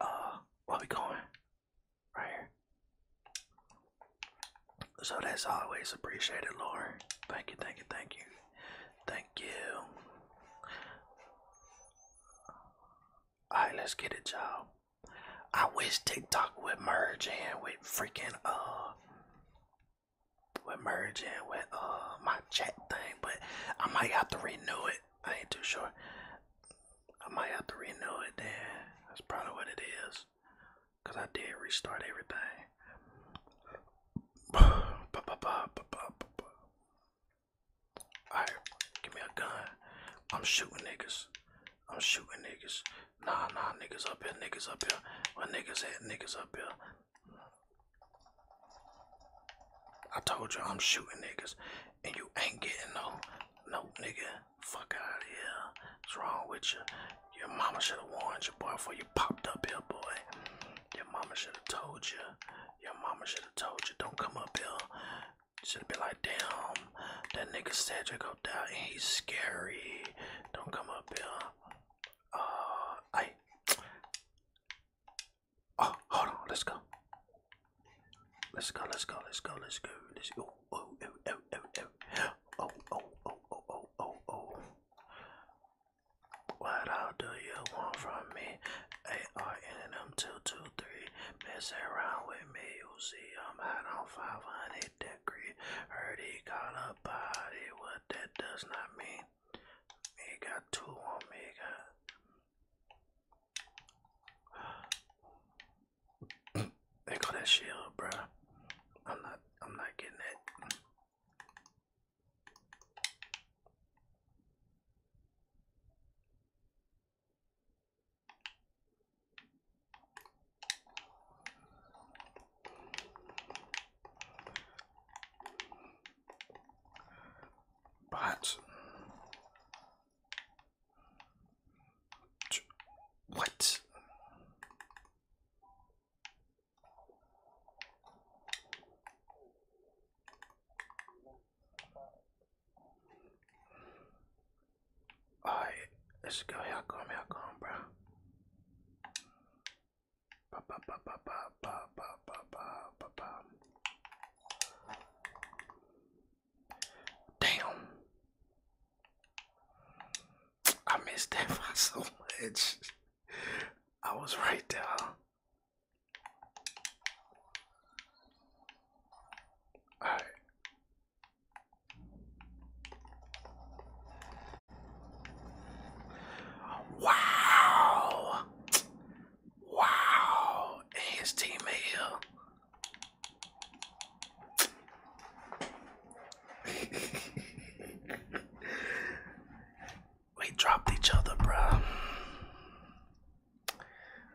uh where we going? Right here. So that's always appreciated, Lord. Thank you, thank you, thank you. Thank you. Alright, let's get it, y'all. I wish TikTok would merge in with freaking uh with merge in with uh my chat thing, but I might have to renew it. I ain't too sure. I might have to renew it then. That's probably what it is. Cause I did restart everything. Alright, give me a gun. I'm shooting niggas. I'm shooting niggas. Nah, nah, niggas up here, niggas up here. Where niggas at, niggas up here. I told you I'm shooting niggas, and you ain't getting no, no nigga. Fuck out of here. What's wrong with you? Your mama should have warned you, boy, before you popped up here, boy. Your mama should have told you. Your mama should have told you, don't come up here. Should have been like, damn, that nigga said Cedric go down and he's scary. Don't come up here. Uh, I. Oh, hold on, let's go. Let's go, let's go, let's go, let's go, let's go. Oh, oh, oh, oh, oh, oh, oh, oh, oh, oh, oh. oh, oh. What all do you want from me? ARNM two two three. Mess around with me, you see I'm hot on 500 degree. Heard he caught a body, what that does not mean. Me got two on me, got they got that shield, bruh. I'm not. I'm not getting it. But what? Alright, let's go. Here come, here come, bro. Ba ba ba ba ba ba ba ba ba ba. Damn. I missed that fight so much. I was right there. Alright. Wow. Wow, his teammate we dropped each other, bro.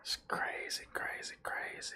It's crazy, crazy, crazy.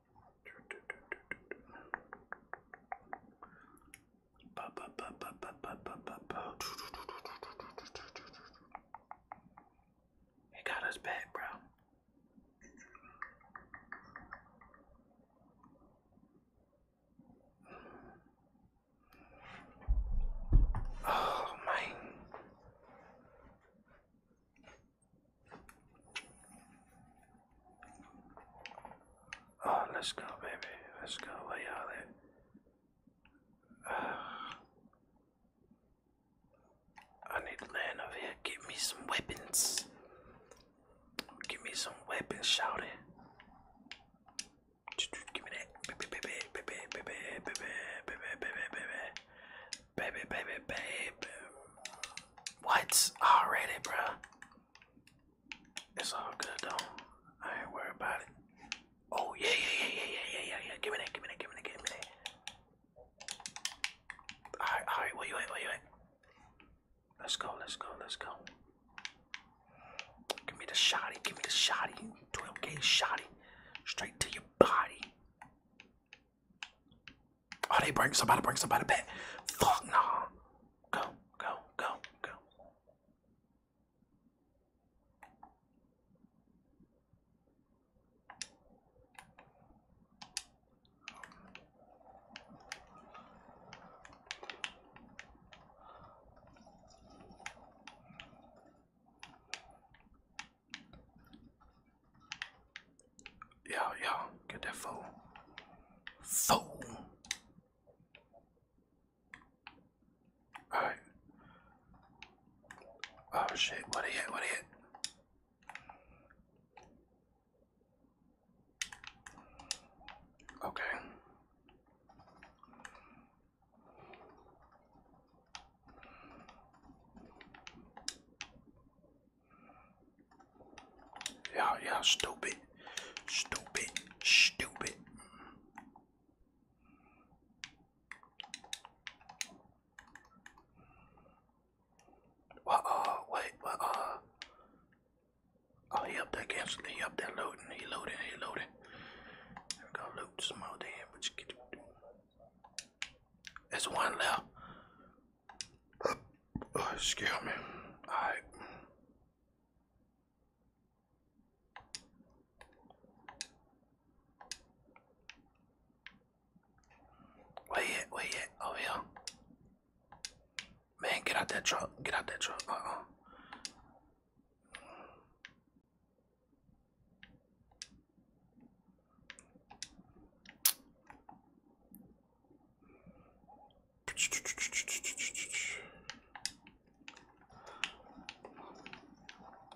He got us back, bro. Oh, man. Oh, let's go, baby. Let's go. Where are all I need land over here. Give me some weapons. Give me some weapons, shout it. Give me that. Baby, baby, baby. What? Already, bruh. It's all good, though. I ain't worried about it. Oh, yeah, yeah, yeah, yeah, yeah, yeah, yeah. Give me that, give me that, give me that, give me that. Alright, alright, where you at, where you at? Let's go, let's go, let's go. Give me the shotty, give me the shotty. 12k shotty. Straight to your body. Oh, they bring somebody, bring somebody back. Fuck no. Go, go, go, go. Yo, yo, get that fool. Fool. Alright. Oh shit, what he hit, what he hit? Okay. Yeah, yeah, stupid. Stupid. Stupid. What, uh, wait, what, uh. Oh, he up there against, he up there looting, he looting, he looting. we go, loot some more but you get There's one left. Oh, excuse me. All right. Where you at? Where Over here. Man, get out that truck. Get out that truck. uh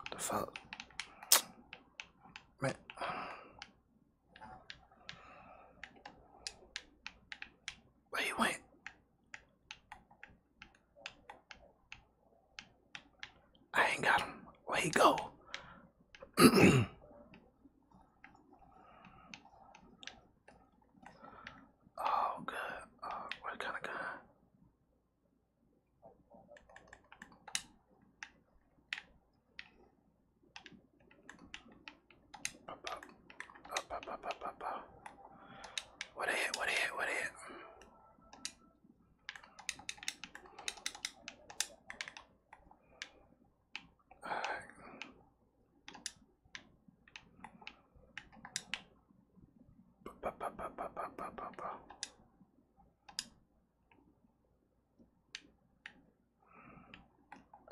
what the fuck? Man. Where you went? I ain't got him. Where he go? oh, good. Uh, oh, kind of going What a hit, what a hit, what a hit. All right. Ba, ba, ba, ba, ba, ba, ba, ba.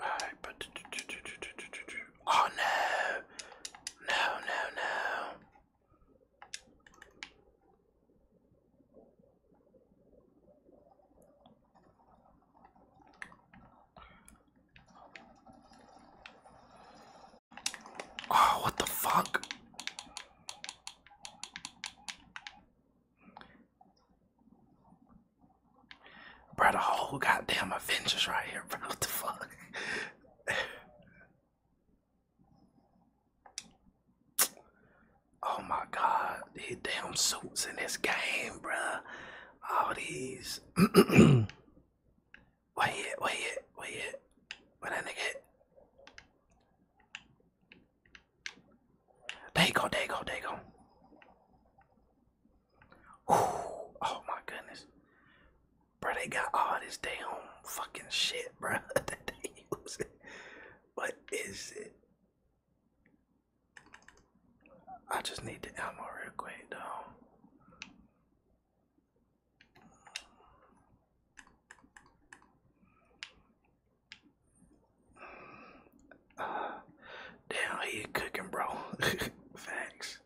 All right, but oh no, no, no, no. Oh, what the fuck? Bro, the whole goddamn Avengers right here, bro. What the fuck? Oh my God, these damn suits in this game, bruh. All these. wait it, wait it, wait it. Where that nigga at? There you oh my goodness. Bro, they got all this damn fucking shit, bro. What is it? I just need the ammo real quick though. damn, he cooking, bro. Facts.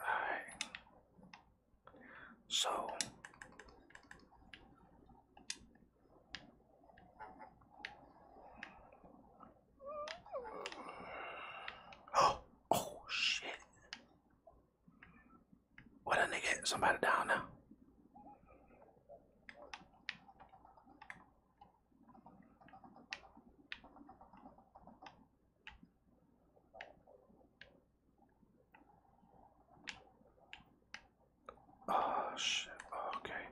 Alright. So Oh, oh shit. What a nigga, somebody down now. Oh shit, oh, okay.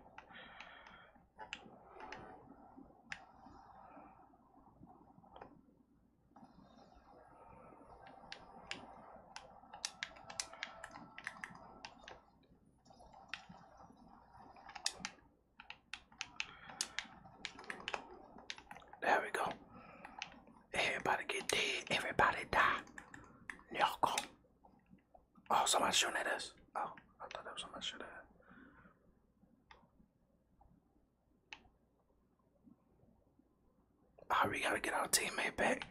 There we go. Everybody get dead. Everybody die. Y'all go. Oh, somebody's shooting at us. Oh, I thought that was somebody shooting at us. are oh, we going to get our teammate back.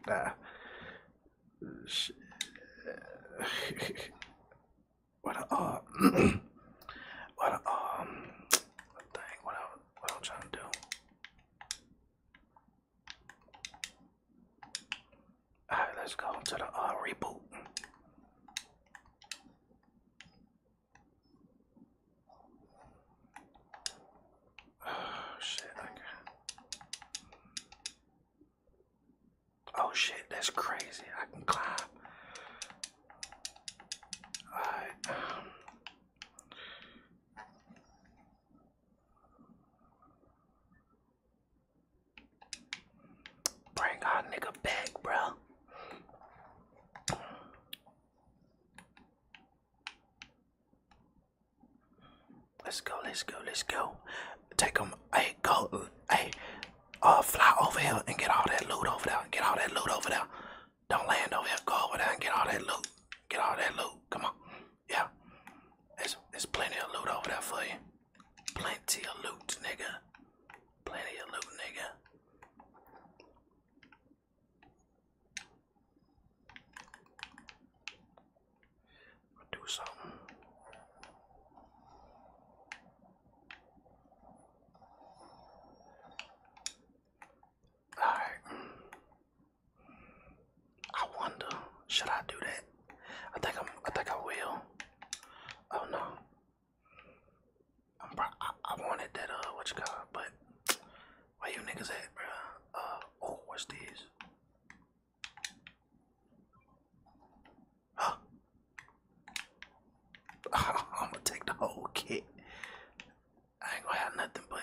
Shit. what a uh, what a um, what What I i trying to do? All right, let's go to the uh, reboot. Oh shit! Oh shit! That's crazy. I can climb. All right. Um, Bring our nigga back, bro. Let's go, let's go, let's go. Take them, hey, go, hey, uh, fly over here and get all that loot over there. Get all that loot over there. Don't land over here. Go over there and get all that loot. Get all that loot. Come on. Yeah. There's, there's plenty of loot over there for you. Plenty of loot, nigga. Plenty of loot, nigga. do something. Alright. I wonder, should I do that? I think I'm. I think I will. Oh no. i wanted that. Uh, what you call it? But where you niggas at, bro? Uh. Oh, what's this? I'm gonna take the whole kit. I ain't gonna have nothing, but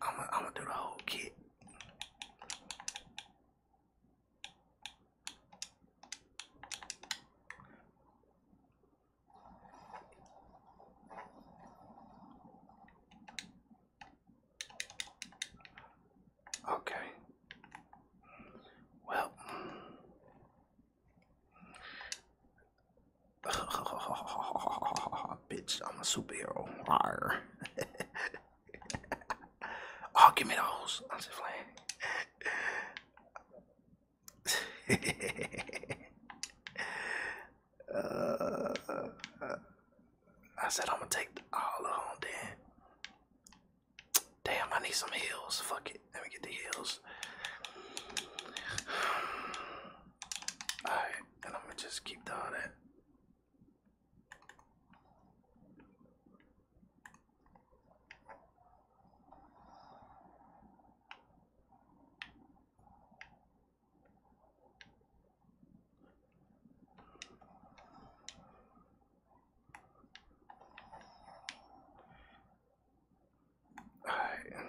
I'm gonna, I'm gonna do the whole kit. Okay. Well, Bitch, I'm a superhero. oh, give me those. I'm just playing. uh, I said I'm gonna take all of them then. Damn, I need some heels. Fuck it. Let me get the heels. Alright, then I'm gonna just keep doing it. Alright.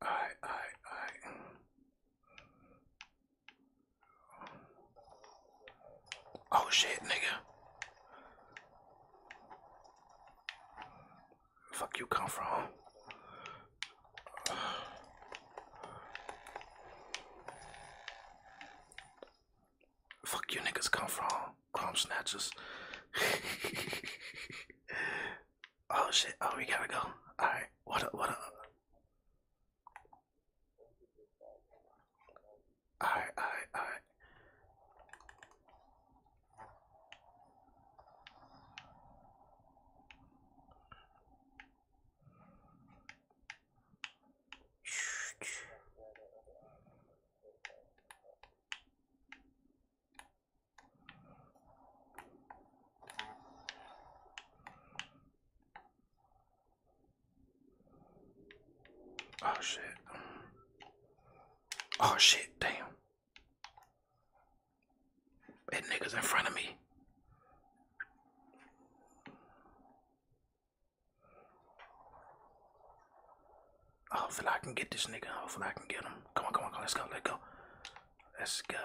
I, I, I. Oh shit, nigga. Fuck you come from? Fuck you niggas come from crumb snatchers. oh shit, oh we gotta go. Alright, what up, what up? Uh, alright, alright, alright. Oh shit. Oh shit, damn. And niggas in front of me. Hopefully I can get this nigga. Hopefully I can get him. Come on, come on, come on. Let's go, let's go. Let's go.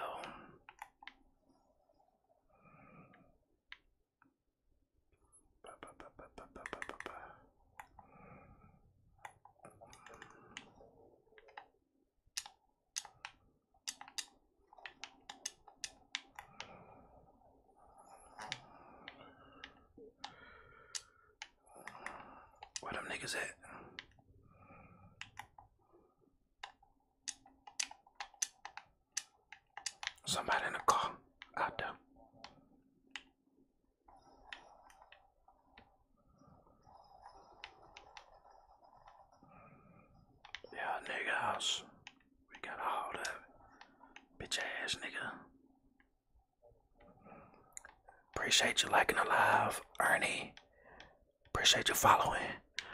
What them niggas at? Somebody in a car out there. Yeah, nigga house. We got all that bitch ass nigga. Appreciate you liking the live, Ernie. Appreciate you following.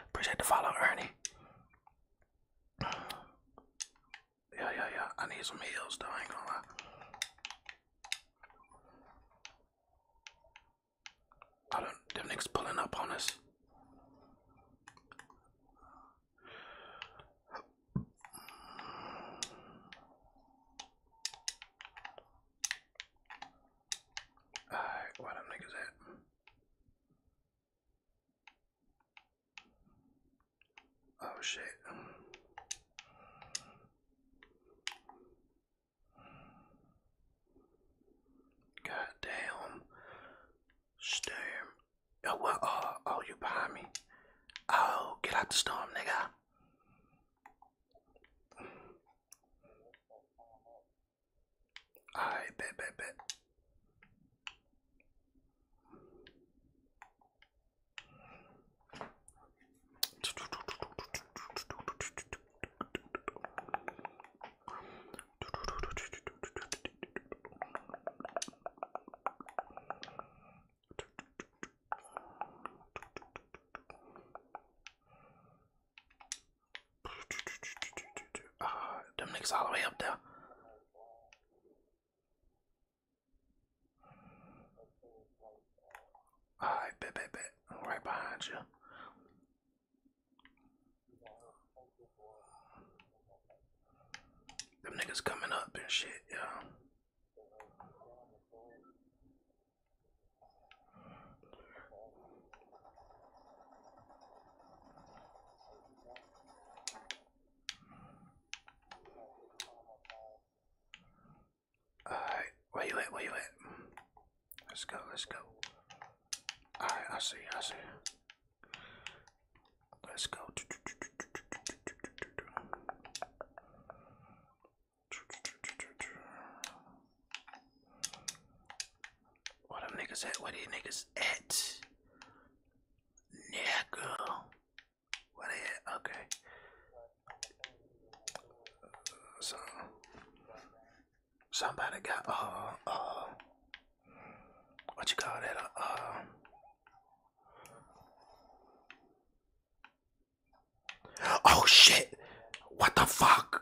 Appreciate the follow, Ernie. Yeah, yeah, yeah. I need some heels though, ain't gonna lie. I don't, Demnick's pulling up on us. Alright, where them niggas at? Oh shit. God damn. Storm. Oh, oh, oh, you behind me. Oh, get out the storm, nigga. Alright, bet, bet, bet. Uh, ah, Dominic's all the way up there. Alright, bet, bet, bet. I'm right behind you. Them niggas coming up and shit, yeah. Alright, where you at? Where you at? Let's go, let's go. Alright, I see, I see. Let's go. What them niggas at? Where these niggas at? Nigga. Where Okay. So, Somebody got uh uh what you call that uh, uh. Oh shit! What the fuck?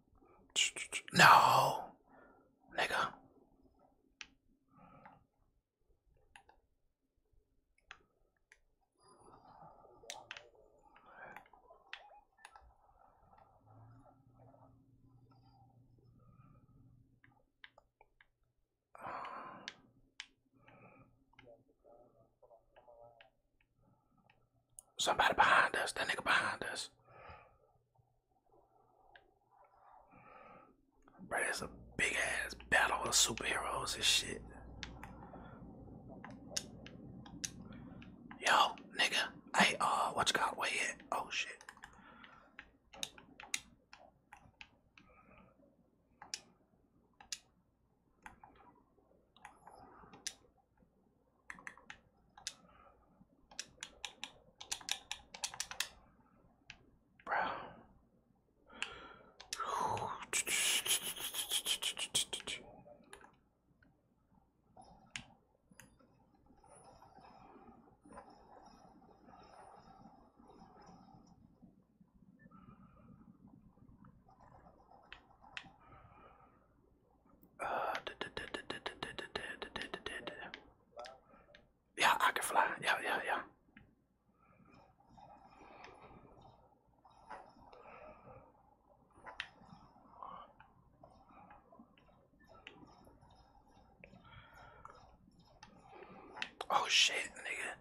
No, nigga. Somebody behind us. That nigga behind us. Bro, it's a big ass battle of superheroes and shit. Yo, nigga. Hey, uh, what you got? Where at? Oh, shit. Bro. yeah, I can fly. Yeah, yeah, yeah. Oh shit, nigga.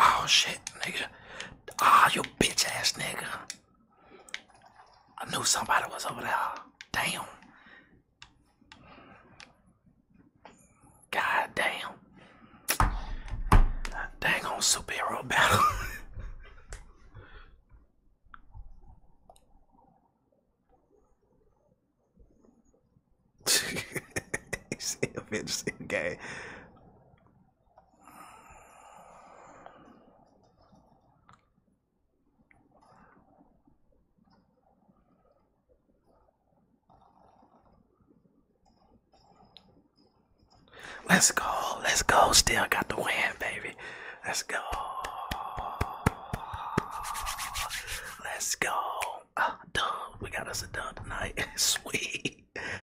Oh shit, nigga. Ah, you bitch ass nigga. I knew somebody was over there. Damn. God damn. Dang on superhero battle. See, I'm game. Let's go, let's go. Still got the win, baby. Let's go. Let's go. Uh, We got us a dub tonight. Sweet.